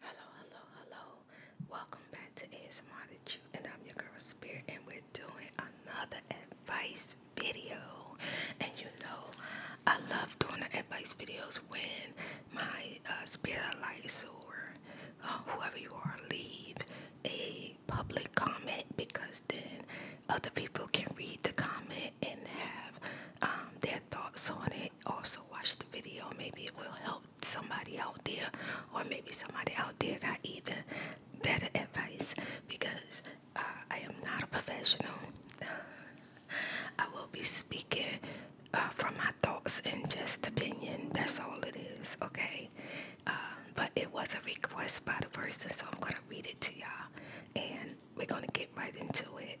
Hello, hello, hello. Welcome back to ASMR the Chew, and I'm your girl Spirit, and we're doing another advice video. And you know, I love doing the advice videos when my uh, spirit lights or uh, whoever you are leave a public comment because then other people can read the comment and have um, their thoughts on it also watch the video. Maybe it will help somebody out there, or maybe somebody out there got even better advice because uh, I am not a professional. I will be speaking uh, from my thoughts and just opinion. That's all it is, okay? Uh, but it was a request by the person, so I'm going to read it to y'all and we're going to get right into it.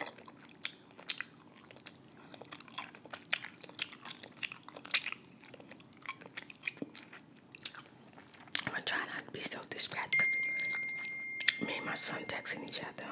I'm gonna try not to be so distracted me and my son texting each other.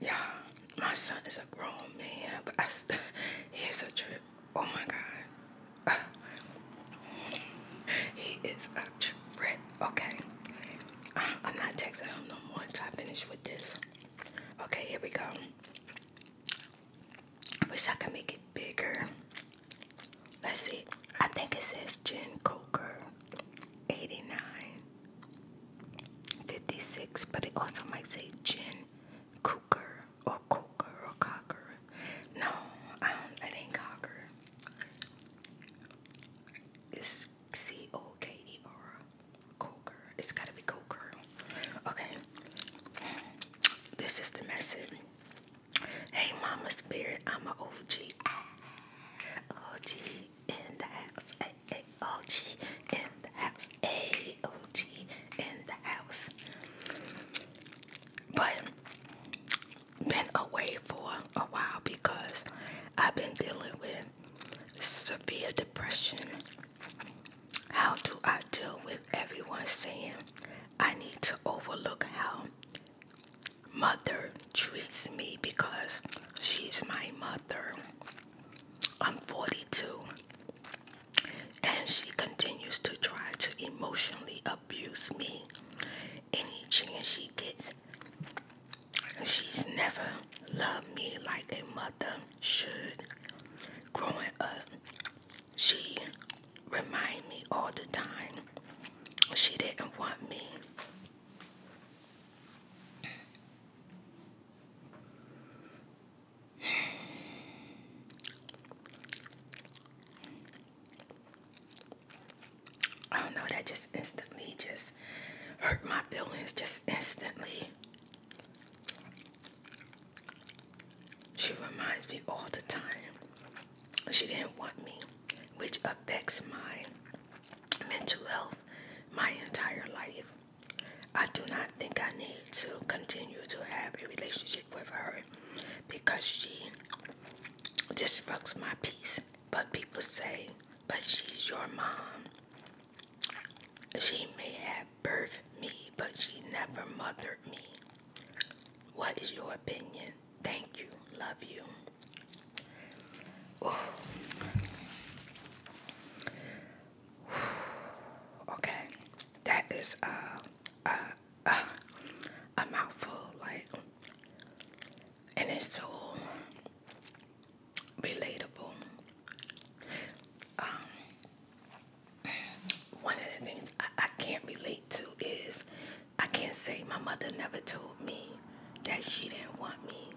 Yeah, my son is a grown man, but I, he's a trip. Oh my god. he is a trip. Okay. Uh, I'm not texting him no more until I finish with this. Okay, here we go. I wish I could make it bigger. Let's see. I think it says Jen Coker 89 56, but it also might say Jen cooker or cooker or cocker. No, um, it ain't cocker. It's C O K E R. Coker. It's gotta be coker. Okay. This is the message. Hey, Mama Spirit, I'm an OG. in the house. Ay, in the house. A OG in the house but been away for a while because I've been dealing with severe depression. How do I deal with everyone saying I need to overlook how mother treats me because she's my mother? I'm 42 and she continues to try to emotionally abuse me. Any chance she gets, she's never loved me like a mother should. Growing up, she reminded me all the time she didn't want me. I don't know, that just instantly just hurt my feelings, just instantly. She reminds me all the time. She didn't want me, which affects my mental health my entire life. I do not think I need to continue to have a relationship with her because she disrupts my peace. But people say, but she's your mom. She may have birthed me, but she never mothered me. What is your opinion? Thank you. Love you. Okay. That is uh, uh, a, mouthful, like, and it's so relatable. Um, one of the things I can't relate to is I can't say my mother never told me that she didn't want me,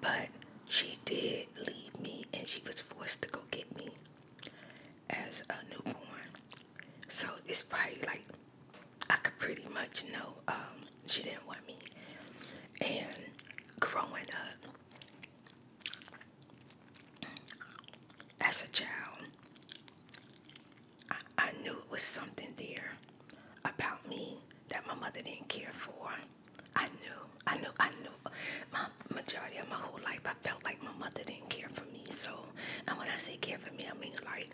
but she did leave me and she was forced to go get me as a newborn. So it's probably like I could pretty much know um, she didn't want me. And growing up as a child, I, I knew it was something there about me that my mother didn't care for. I knew, I knew, I knew. My majority of my whole life, I felt like my mother didn't care for me. So, and when I say care for me, I mean like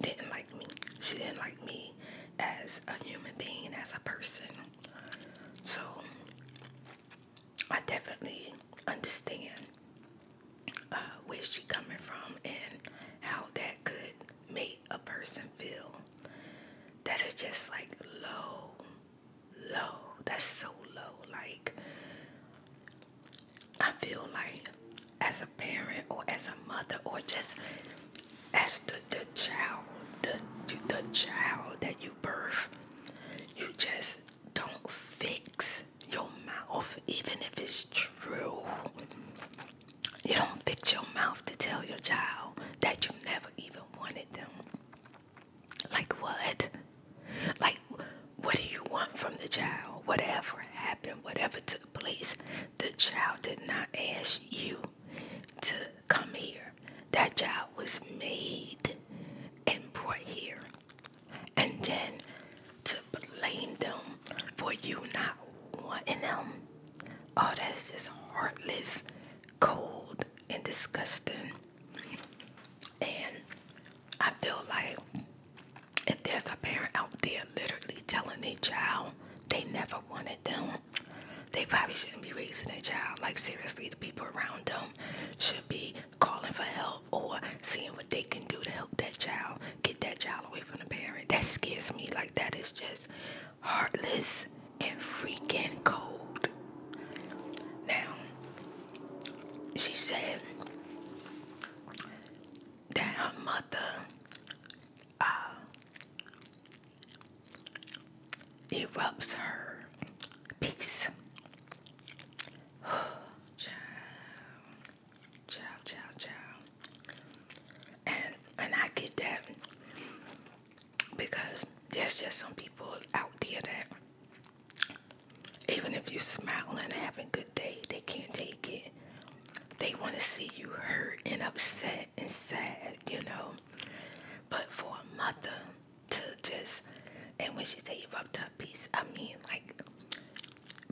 didn't like me. She didn't like me as a human being, as a person. So, I definitely understand uh, where she's coming from and how that could make a person feel. That is just like low, low. That's so low. Like I feel like as a parent or as a mother or just as the, the child, the, the child that you birth, you just don't fix your mouth, even if it's true. You don't fix your mouth to tell your child that you never even wanted them. Like what? Like, what do you want from the child? Whatever happened, whatever took place, the child did not ask you to come here. That child was made and brought here. And then to blame them for you not wanting them. Oh, that's just heartless, cold, and disgusting. And I feel like if there's a parent out there literally telling their child they never wanted them, they probably shouldn't be raising their child. Like, seriously, the people around them should be calling for help or seeing what they can do to help that child get that child away from the parent. That scares me. Like, that is just heartless and freaking cold. Now, she said, that her mother uh, erupts her peace. child, child, child, child. And, and I get that because there's just some people out there that even if you're smiling and having a good day, they can't take it. They want to see you hurt and upset and sad, you know. But for a mother to just, and when she say you've her piece, I mean, like,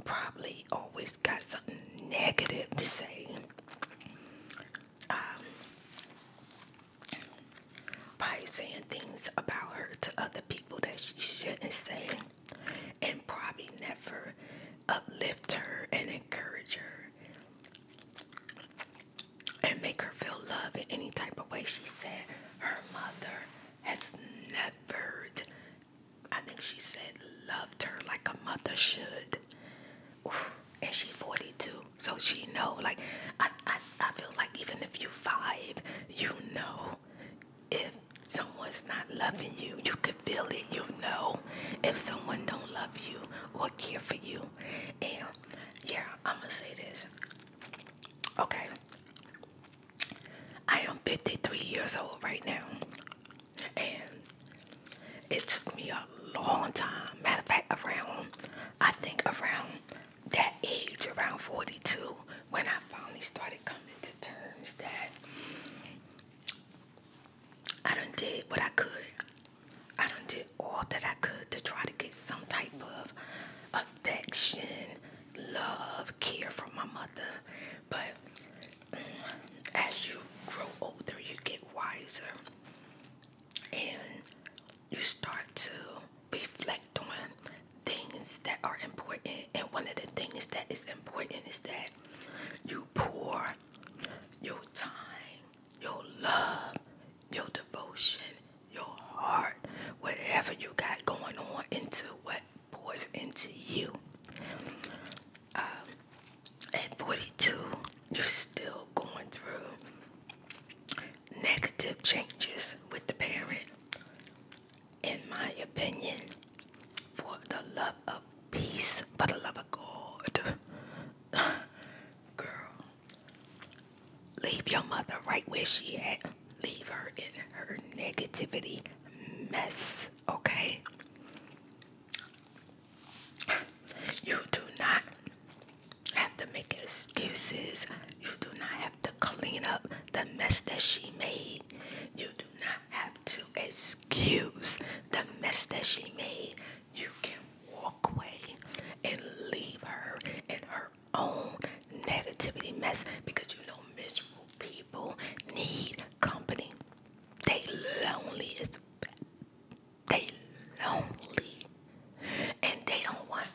probably always got something negative to say. Um, by saying things about her to other people that she shouldn't say and probably never uplift her and encourage her and make her feel love in any type of way. She said her mother has never, I think she said, loved her like a mother should. and she's 42, so she know. Like I, I, I feel like even if you five, you know if someone's not loving you, you can feel it. You know if someone don't love you or care for you. And yeah, I'm gonna say this. Okay. I am 53 years old right now. And it took me a long time. Matter of fact, around, I think around that age, around 42, when I finally started started coming to terms that I done did what I could. I didn't did all that I could to try to get some type of affection, love, care from my mother. But mm, as you grow older, you get wiser and you start to reflect on things that are important. And one of the things that is important is that you pour your time, your love, your devotion, your heart, whatever you got going on into what pours into you. Um, at 42, you're still going through negative changes with the parent in my opinion, for the love of peace, for the love of God, girl, leave your mother right where she at. Leave her in her negativity mess, okay? You do not have to make excuses. You do not have to clean up the mess that she made. You not have to excuse the mess that she made. You can walk away and leave her in her own negativity mess because you know miserable people need company. They lonely as they lonely and they don't want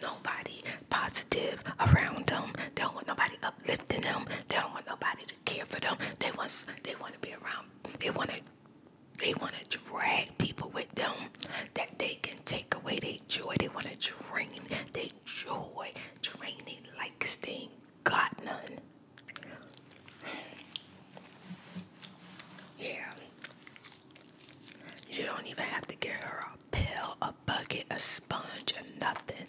nobody positive around them. don't want nobody uplifting them. They don't want nobody to care for them. They want they want to be around. They want to they want to drag people with them that they can take away their joy. They want to drain their joy, drain it likes. They ain't got none. Yeah. You don't even have to give her a pill, a bucket, a sponge, or nothing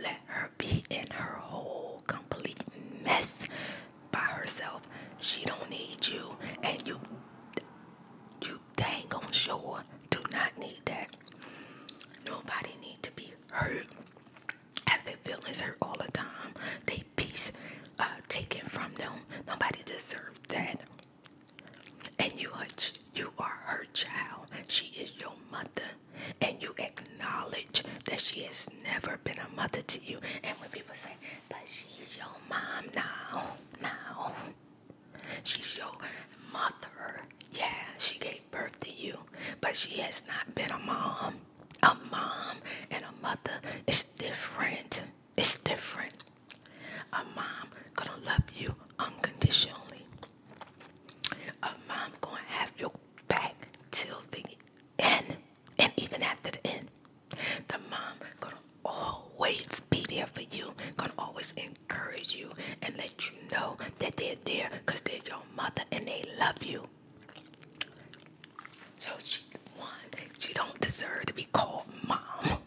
let her be in her whole complete mess by herself. She don't need you, and you, you dang on sure do not need that. Nobody need to be hurt. Have their feelings hurt all the time. They peace uh, taken from them. Nobody deserves that. And you are, you are her child. She is your mother and you acknowledge that she has never been a mother to you, and when people say, but she's your mom now, now, she's your mother. Yeah, she gave birth to you, but she has not been a mom. A mom and a mother is different. It's different. A mom gonna love you unconditionally. A mom gonna have your back till the end, and even after the end, the mom gonna always be there for you. Gonna always encourage you and let you know that they're there because they're your mother and they love you. So she one, she don't deserve to be called mom.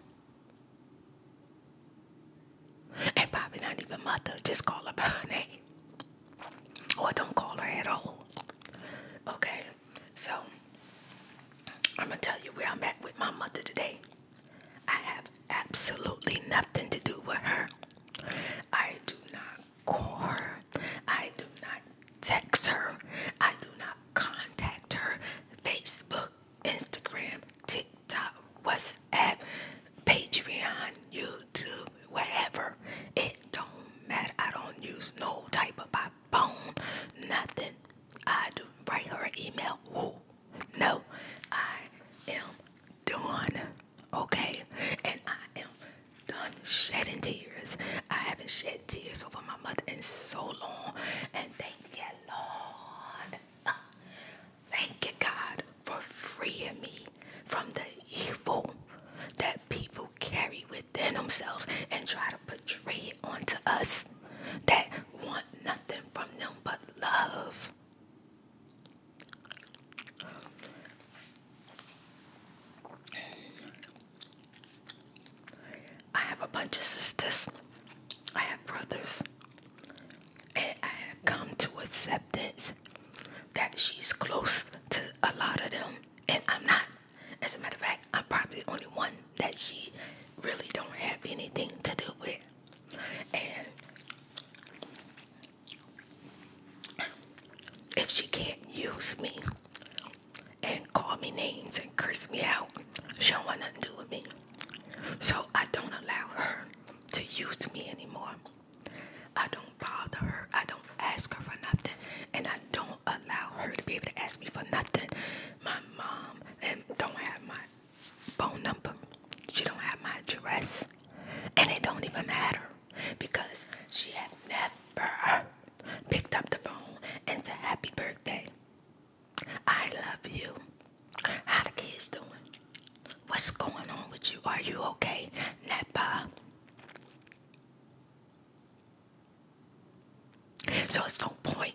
And probably not even mother. Just call her by her name. Or don't call her at all. Okay. So I'm gonna tell you where I'm at with my mother today. I have absolutely nothing to do with her. I do not call her. I do not text her. I do not contact her. Facebook, Instagram, TikTok, what's at Patreon, YouTube, wherever. It don't matter. I don't use no type of my phone, nothing. I do write her an email. No, I am done. Okay, and I am done shedding tears. I haven't shed tears over my mother in so long, and thank you, Lord. Thank you, God, for freeing me from the evil that people carry within themselves and try to portray it onto us that want nothing from them but love. I have a bunch of sisters. I have brothers and I had come to acceptance that she's close to a lot of them, and I'm not. As a matter of fact, I'm probably the only one that she really don't have anything to do with. And if she can't use me and call me names and curse me out, she don't want nothing to do with me. So I don't allow her to use me anymore. I don't bother her. I don't ask her for nothing. And I don't allow her to be able to ask me for nothing. My mom and um, don't have my phone number. She don't have my address. And it don't even matter. Because she had never picked up the phone and a happy birthday. I love you. How the kids doing? What's going on with you? Are you okay, Nepa? So it's no point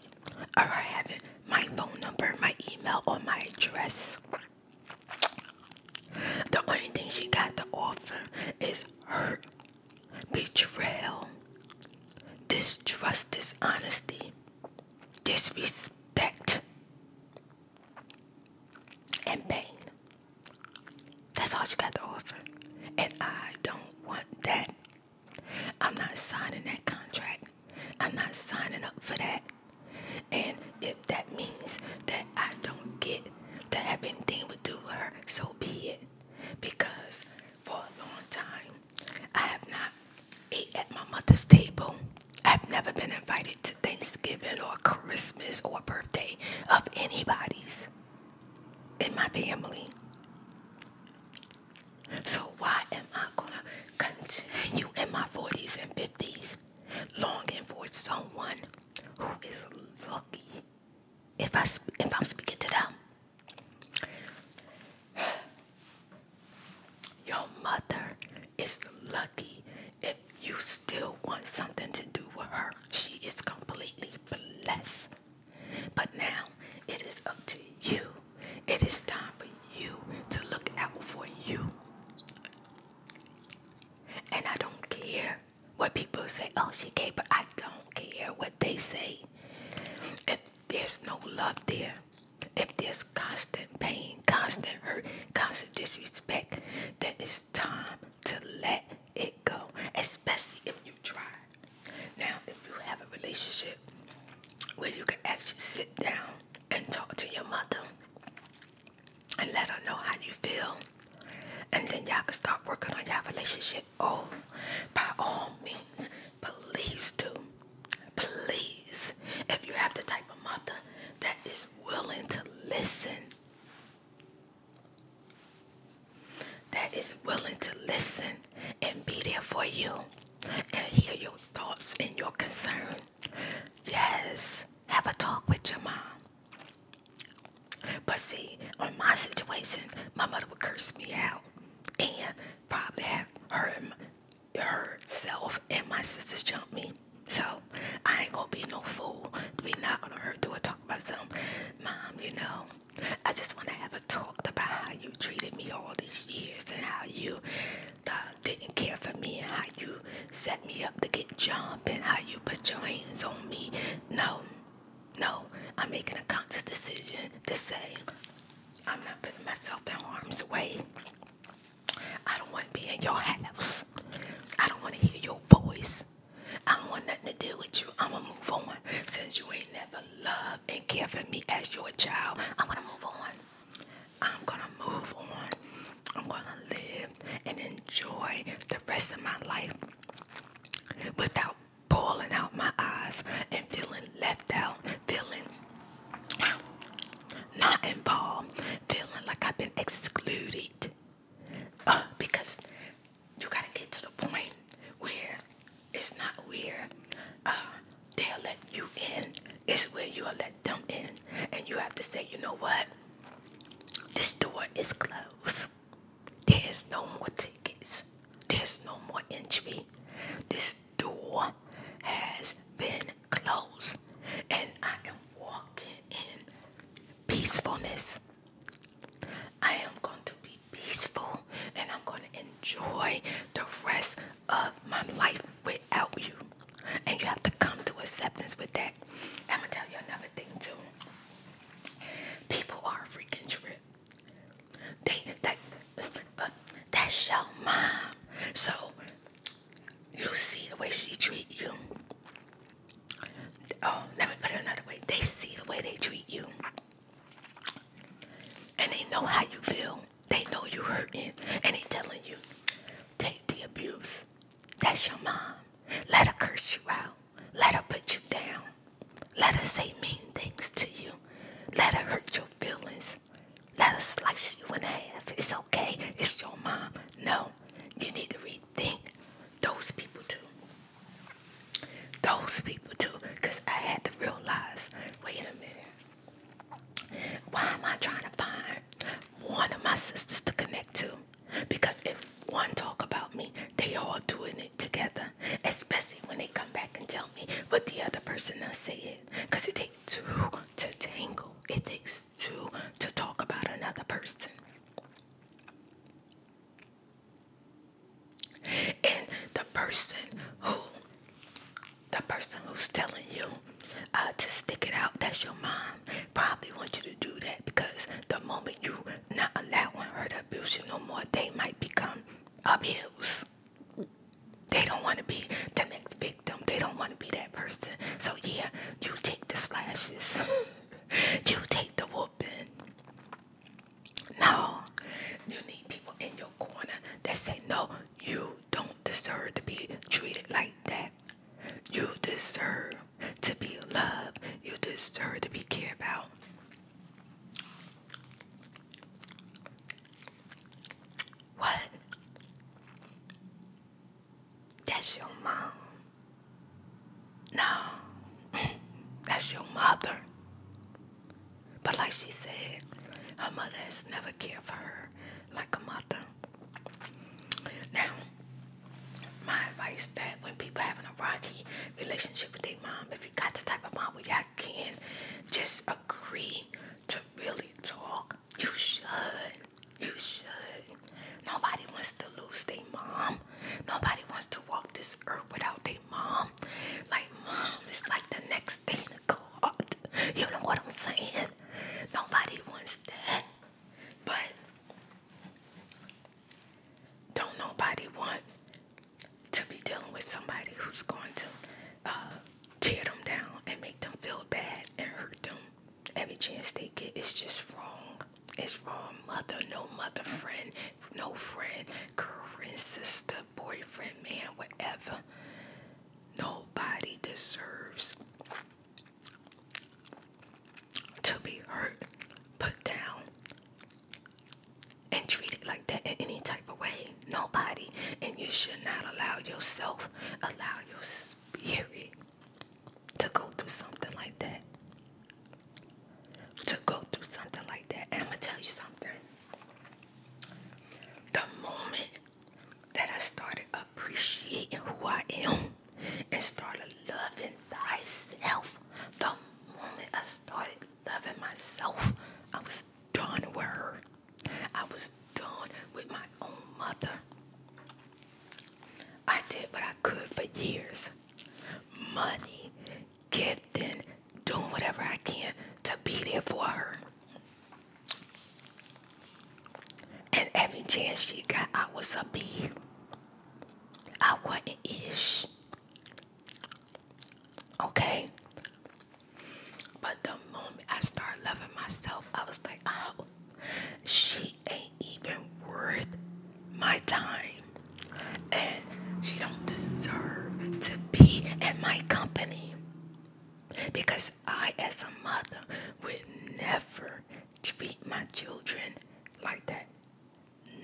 or having my phone number, my email, or my address. The only thing she got to offer is her betrayal, distrust, dishonesty, disrespect, and pain. That's all she got to offer. And I don't want that. I'm not signing that contract. I'm not signing up for that. And if that means that I don't get to have anything to do with her, so be it. Because for a long time, I have not ate at my mother's table. I've never been invited to Thanksgiving or Christmas or birthday of anybody's in my family. So, why am I going to continue in my 40s and 50s longing for someone who is lucky if, I, if I'm speaking to them? Your mother is lucky you still want something to do with her, she is completely blessed. But now it is up to you. It is time for you to look out for you. And I don't care what people say, oh, she gay, but I don't care what they say. If there's no love there, if there's constant pain, constant hurt, constant disrespect, then it's time to let it go, especially if you try. Now, if you have a relationship where you can actually sit down and talk to your mother and let her know how you feel, and then y'all can start working on y'all relationship. Oh, by all means, please do. Please, if you have the type of mother that is willing to listen that is willing to listen and be there for you and hear your thoughts and your concern. Yes, have a talk with your mom. But see, on my situation, my mother would curse me out and probably have her, herself and my sisters jump me. So I ain't gonna be no fool to be not on her door talk about some mom, you know. I just wanna have a talk about how you treated me all these years and how you uh, didn't care for me and how you set me up to get jumped and how you put your hands on me. No, no, I'm making a conscious decision to say I'm not putting myself down arms away. I don't want to be in your house. I don't want to hear your voice. I don't want nothing to do with you. I'm gonna move on. Since you ain't never loved and cared for me as your child, I'm gonna move on. I'm gonna move on. I'm gonna live and enjoy the rest of my life without bawling out my eyes and feeling left out, feeling not involved, feeling like I've been excluded. Uh, because you gotta get to the point where it's not where uh, they are letting you in, it's where you are let them in, and you have to say, you know what, this door is closed. There's no more tickets. There's no more entry. This door has been closed, and I am walking in peacefulness. I am going to be peaceful and I'm going to enjoy the rest of my life without you. And you have to come to acceptance with that. I'm going to tell you another thing, too. People are freaking trip. They, that, uh, that's your mom. So, you see the way she treat you oh, let me put it another way. They see the way they treat you. And they know how you feel. They know you're hurting. And they are telling you, take the abuse. That's your mom. Let her curse you out. Let her put you down. Let her say mean things to you. Let her hurt your feelings. Let her slice you in half. It's okay. It's your mom. No. You need to rethink those people too. Those people too. Because I had to realize wait a minute. Why am I trying to find one of my sisters to connect to? Because if one talk about me, they all doing it together. Especially when they come back and tell me what the other person done said. Because it takes two to tangle. It takes two to talk about another person. And the person who, the person who's telling you uh, to stick it out, that's your mom, probably want you to do that because the moment you not allowing her to abuse you no more, they might become abused. They don't want to be the next victim. They don't want to be that person. So yeah, you take the slashes. you take the whooping. No, you need people in your corner that say, No, you don't deserve to be treated like that. You deserve to be loved, you deserve to be cared about. What? That's your mom. No, that's your mother. But like she said, her mother has never cared for her like a mother. Now, my advice that when people having a rocky relationship with their mom, if you got the type of mom where y'all can just agree to really talk, you should. You should. Nobody wants to lose their mom. Nobody wants to walk this earth without their mom. Like mom is like the next thing to God. You know what I'm saying? Nobody wants that. But don't nobody want to be dealing with somebody who's going to uh, tear them down and make them feel bad and hurt them every chance they get is just wrong. It's wrong. Mother, no mother, friend, no friend, girlfriend, sister, boyfriend, man, whatever. Nobody deserves to be hurt, put down, and treated like that in any type of way. Nobody. And you should not allow yourself, allow your spirit to go through something like that. To go through something like that. And I'm going to tell you something. The moment that I started appreciating who I am and started loving myself, the moment I started loving myself, I was done with her. I was done with my own mother. I did what I could for years. Money, and doing whatever I can to be there for her. And every chance she got, I was a I wasn't ish. Okay? But the moment I started loving myself, I was like, oh, she she ain't even worth my time and she don't deserve to be in my company because I as a mother would never treat my children like that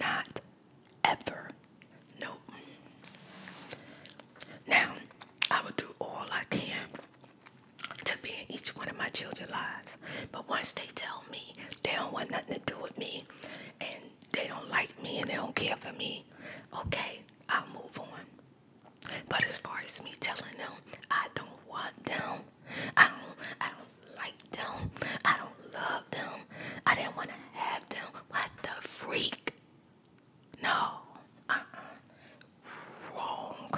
not ever nope now I will do all I can to be in each one of my children's lives but once they tell me they don't want nothing to do with me and they don't like me and they don't care for me, okay, I'll move on. But as far as me telling them I don't want them, I don't I don't like them, I don't love them, I didn't want to have them, what the freak? No. uh Wrong.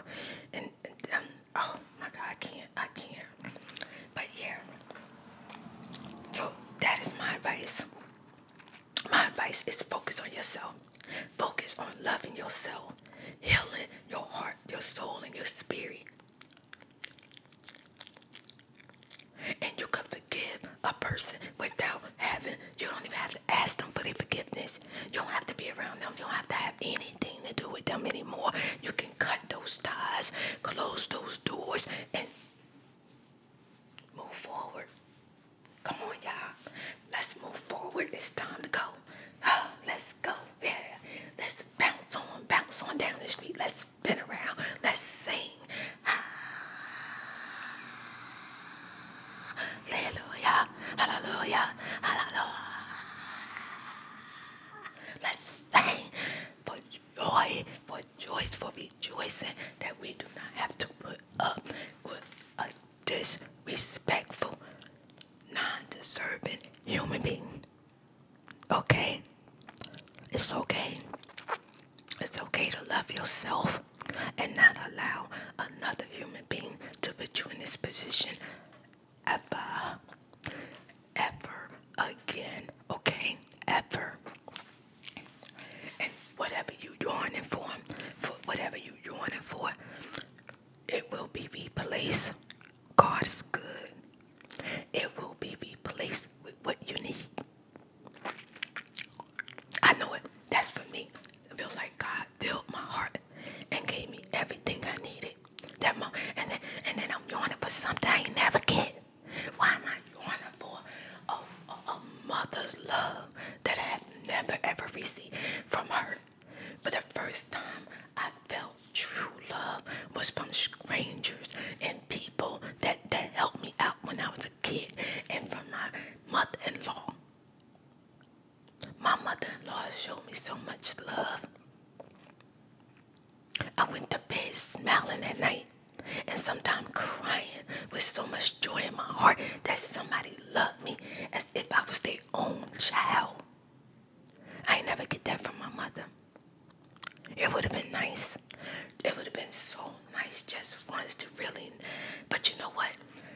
And, um, Oh my god, I can't, I can't. But yeah. So that is my advice. My advice is focus on yourself. Focus on loving yourself, healing your heart, your soul, and your spirit. And you can forgive a person without having, you don't even have to ask them for their forgiveness. You don't have to be around them. You don't have to have anything to do with them anymore. You can cut those ties, close those doors, and move forward. Come on, y'all. Let's move forward. It's time to go. let's go. Yeah. Let's bounce on, bounce on down the street. Let's spin around. Let's sing. Hallelujah. Hallelujah. Hallelujah. Let's sing for joy, for choice, for rejoicing that we do not have to put up with a disrespectful, non deserving human being. Okay? It's okay. It's okay to love yourself and not allow another human being to put you in this position ever, ever again, okay? Ever. And whatever you yawning for, for whatever you yawning for, it will be replaced. God is good. It will be replaced with what you need. I know it. That's for me. I feel like God filled my heart and gave me everything I needed. That mo and then and then I'm yearning for something I never get. Why am I yearning for a, a mother's love that I have never ever received from her? But the first time I felt true love was from strangers and people that that helped me out when I was a kid and from my mother-in-law. My mother-in-law showed me so much love. I went to bed smiling at night and sometimes crying with so much joy in my heart that somebody loved me as if I was their own child. I never get that from my mother. It would have been nice. It would have been so nice just once to really. But you know what?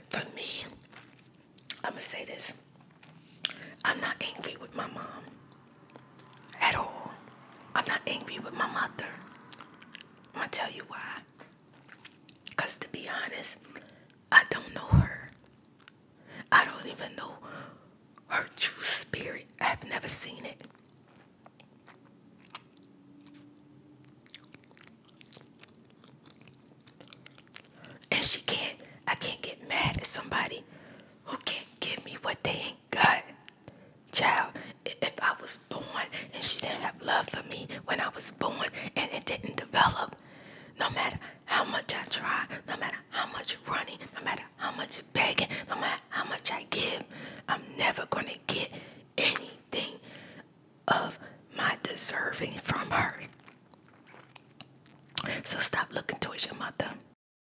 For me, I'm going to say this. I'm not angry with my mom at all. I'm not angry with my mother. I'm gonna tell you why. Because to be honest, I don't know her. I don't even know her true spirit. I have never seen it. And she can't, I can't get mad at somebody who can't give me what they ain't God. Child, if I was born and she didn't have love for me when I was born and it didn't develop, no matter how much I try, no matter how much running, no matter how much begging, no matter how much I give, I'm never going to get anything of my deserving from her. So stop looking towards your mother.